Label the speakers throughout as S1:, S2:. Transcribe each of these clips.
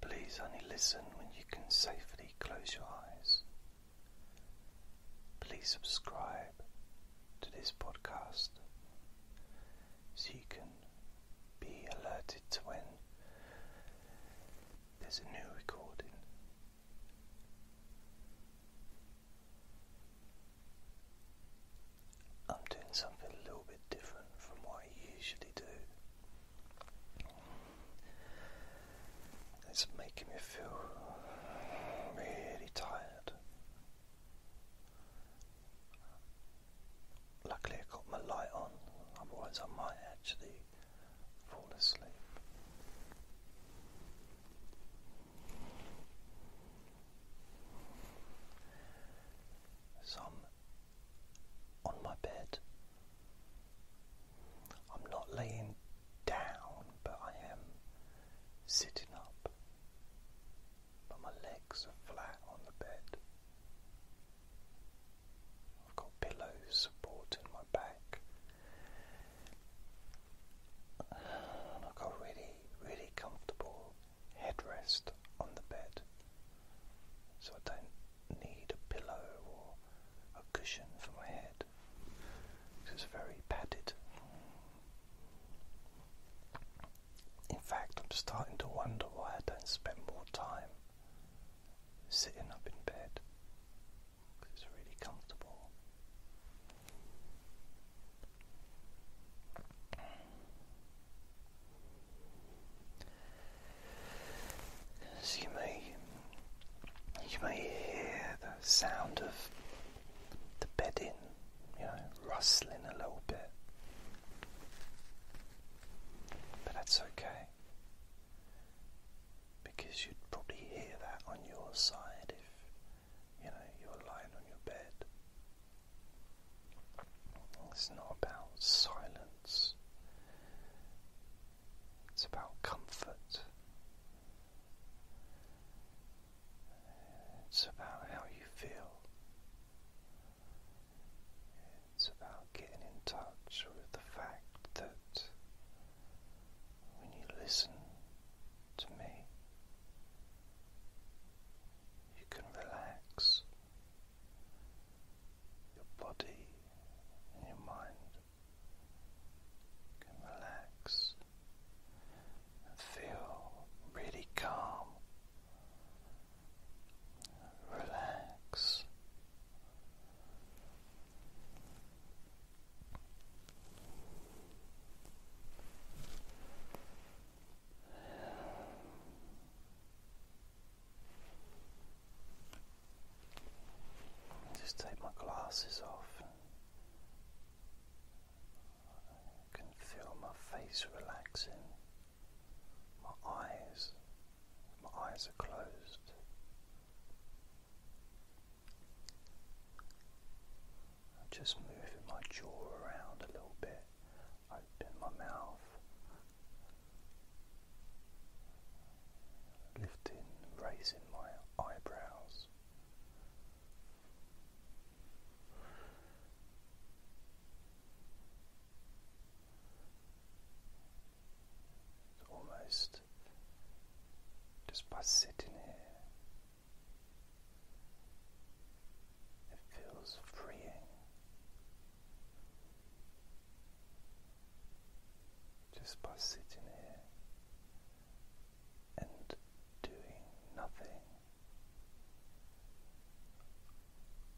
S1: Please only listen when you can safely close your eyes. Please subscribe to this podcast so you can be alerted to when there's a new recording. I'm doing something a little bit different from what I usually do. It's making me feel really tired. Luckily, I got my light on, otherwise, I might actually fall asleep. So I'm on my bed. I'm not laying down, but I am sitting up. But my legs are flat on the bed. I've got pillows supporting my back. And I got really, really comfortable headrest on the bed. So I don't need a pillow or a cushion for my head. It's very padded. In fact, I'm starting to wonder why I don't spend more time sitting up in bed. It's really comfortable. As you may, you may hear the sound of the bedding, you know, rustling a little bit, but that's okay because you'd probably hear that on your side if you know you're lying on your bed. It's not about silence, it's about comfort. It's about how you feel. It's about getting in touch with the fact that when you listen to me, you can relax your body and your mind can relax and feel really calm. Relax. Just take my glasses off, and I can feel my face relaxing, my eyes, my eyes are closed. I'm just moving my jaw around a little bit. Open my mouth, lifting, raising my eyebrows. almost just by sitting here. It feels freeing just by sitting here and doing nothing.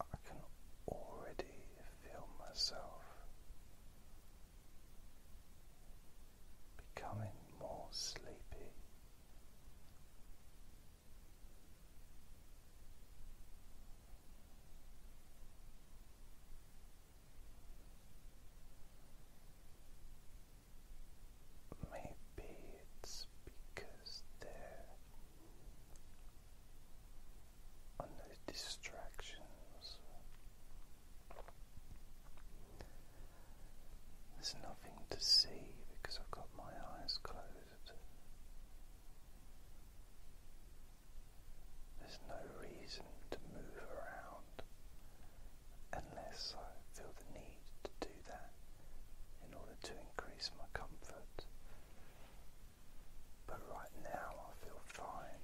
S1: I can already feel myself becoming more sleepy Maybe it's because there are no distractions. There's nothing to see because I've got my eyes closed. There's no reason to move around unless I feel the need to do that in order to increase my comfort. But right now I feel fine.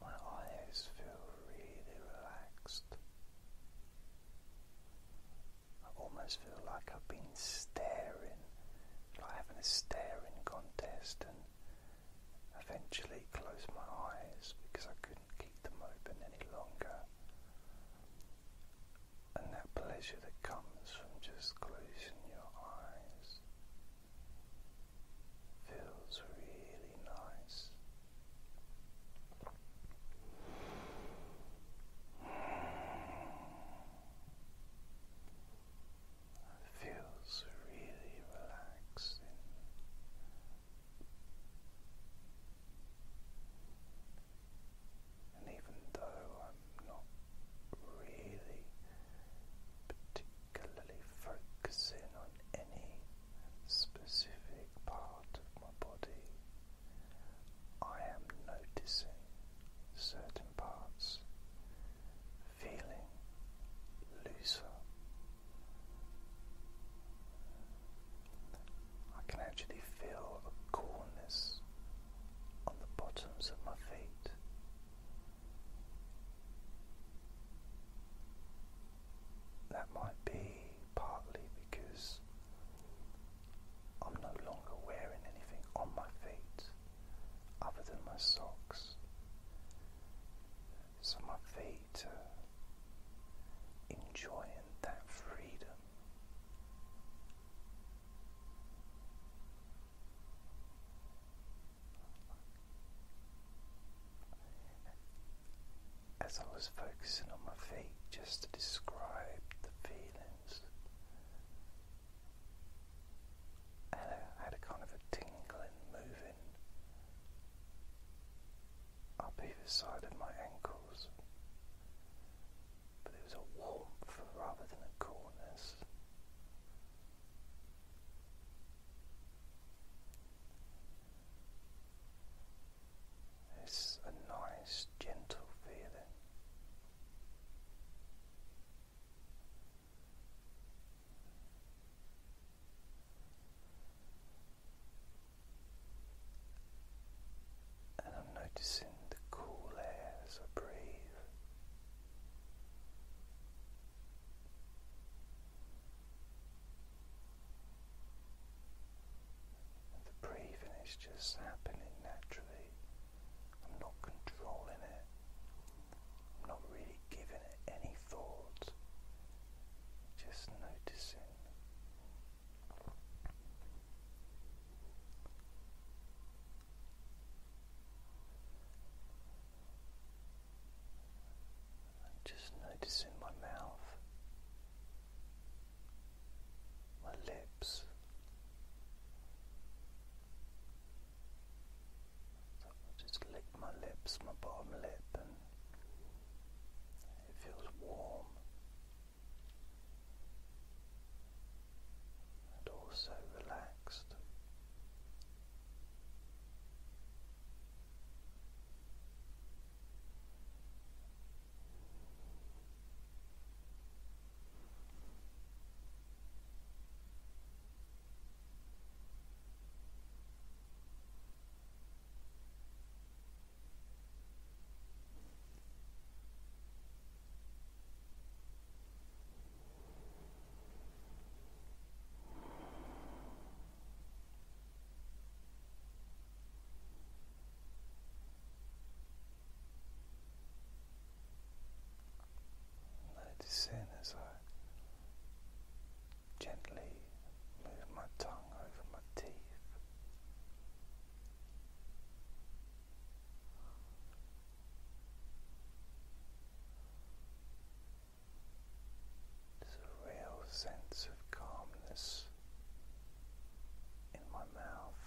S1: My eyes feel really relaxed. I almost feel like I've been staring, like having a staring contest, and eventually close my eyes because I couldn't keep them open any longer. And that pleasure that comes from just closing your eyes feels really nice. feels really relaxing. And even though i not really particularly focusing on any specific part of my body. I am noticing certain parts feeling looser. I can actually feel a coolness on the bottoms of my feet that might be partly because I'm no longer wearing anything on my feet other than my socks. So my feet are enjoying that freedom as I was focusing on my feet just to describe the feelings, I had a kind of a tingling moving up either side of my ankles, but it was a warmth rather than a coolness. It's a nice, gentle feeling. And I'm noticing the cool air as I breathe. And the breathing is just happening naturally. I'm not controlling it. I'm not really giving it any thought. Just noticing. Just noticing my mouth, my lips, just lick my lips, my bottom lip, and it feels warm and also relaxed. Noticing as I gently move my tongue over my teeth. There's a real sense of calmness in my mouth.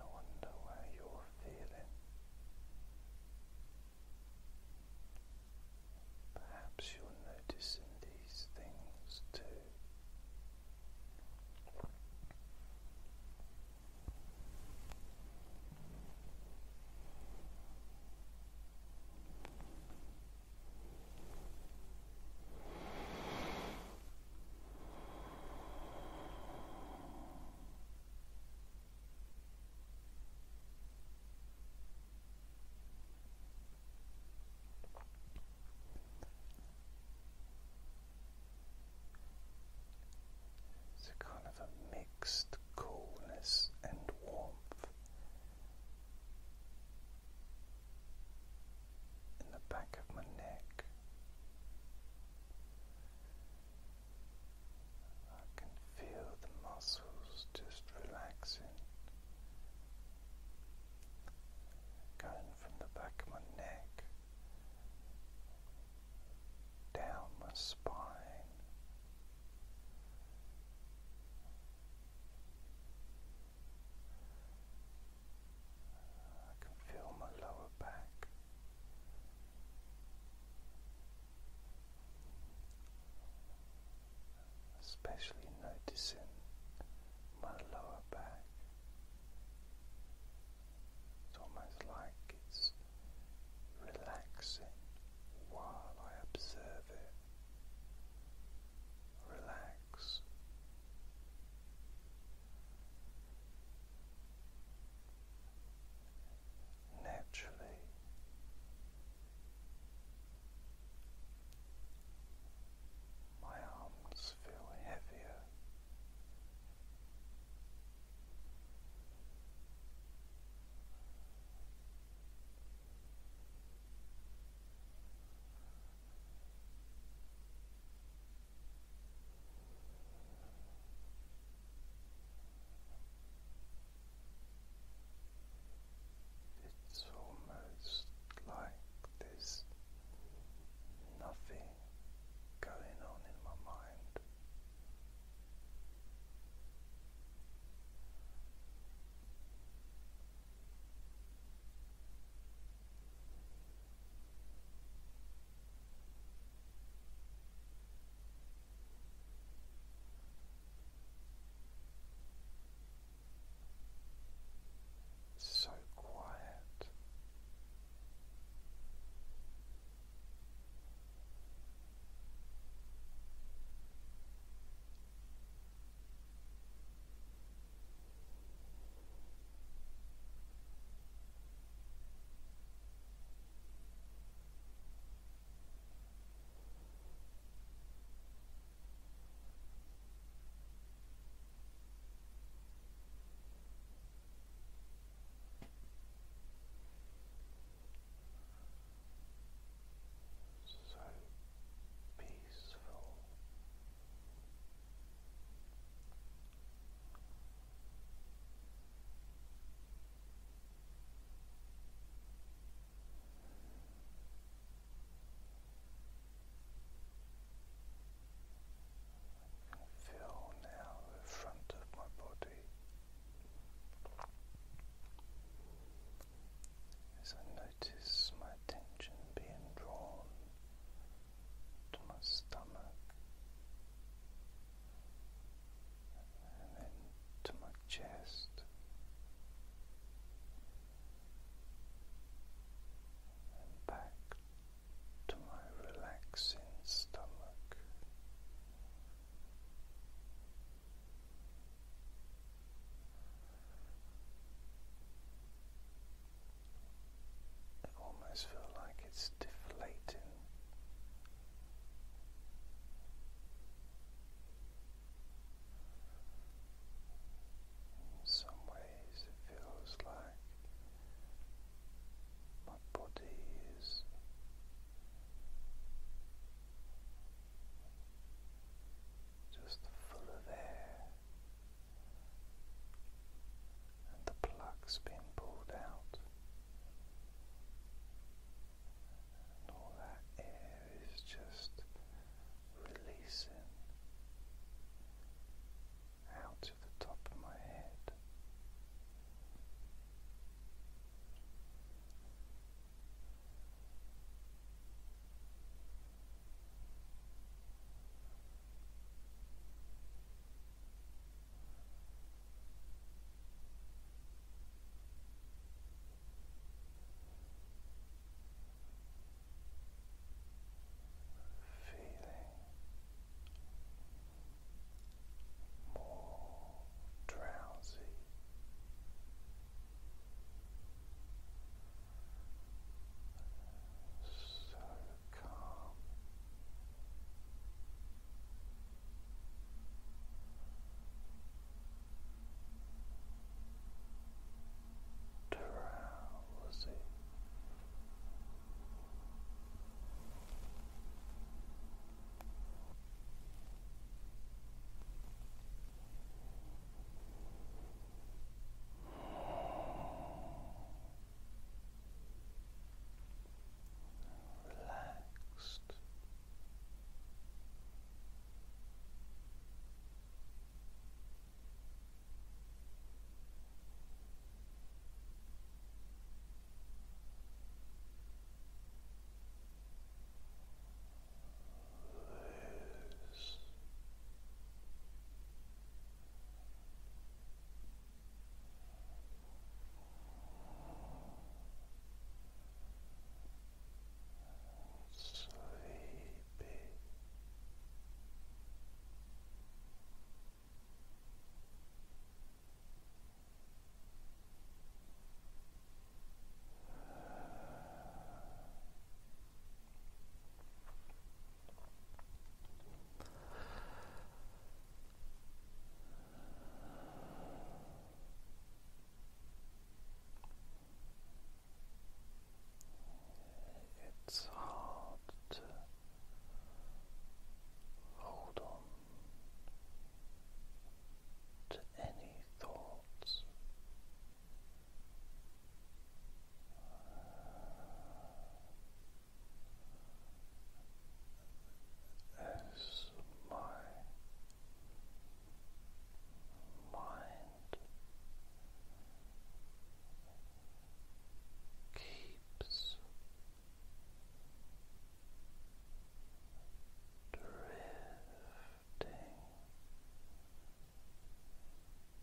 S1: I wonder where your feeling. Perhaps you're noticing these things too. It's a kind of a mixed coolness and warmth in the back of my neck. I can feel the muscles just relaxing, going from the back of my neck down my spine. I can feel my lower back especially noticing my lower back. It's almost like it's relaxing while I observe it. Relax, naturally. My arms feel heavier. It's almost like there's nothing going on in my mind. So quiet. So peaceful. Feel now the front of my body as I notice my attention being drawn to my stomach and then to my chest and back to my relaxing stomach. I almost feel like it's deflating. In some ways, it feels like my body is just full of air and the plug's been pulled out, and all that air is just releasing out of the top of my head. Feeling more drowsy. So calm. Drowsy relaxed. Loose. Sleepy. Relaxed. It's hard to hold on to any thoughts as my mind keeps drifting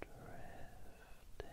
S1: drifting. And loose.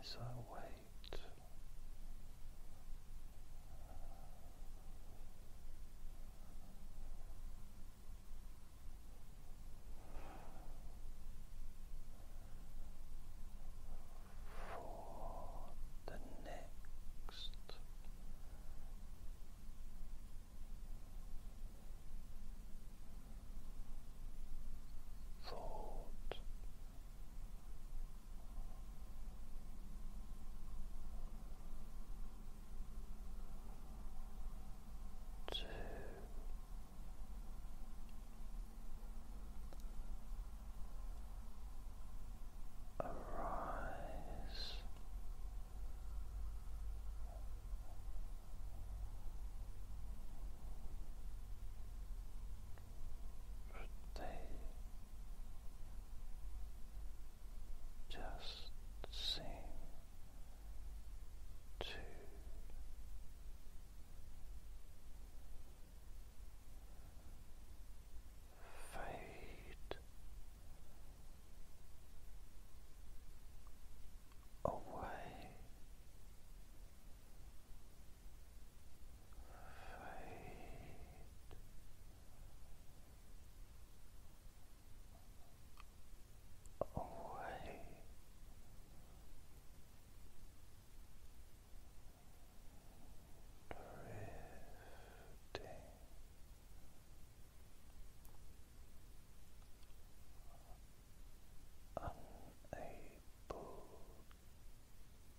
S1: As I wait for the next thought. Two. Arise but they just seem to fade away, fade away. Drifting unable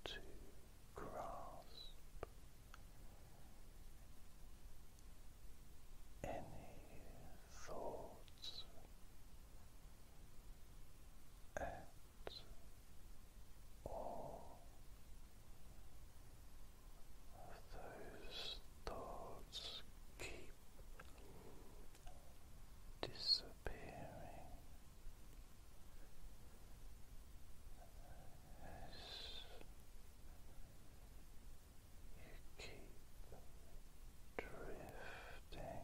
S1: to grasp any thoughts at all those thoughts keep disappearing as you keep drifting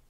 S1: Drift.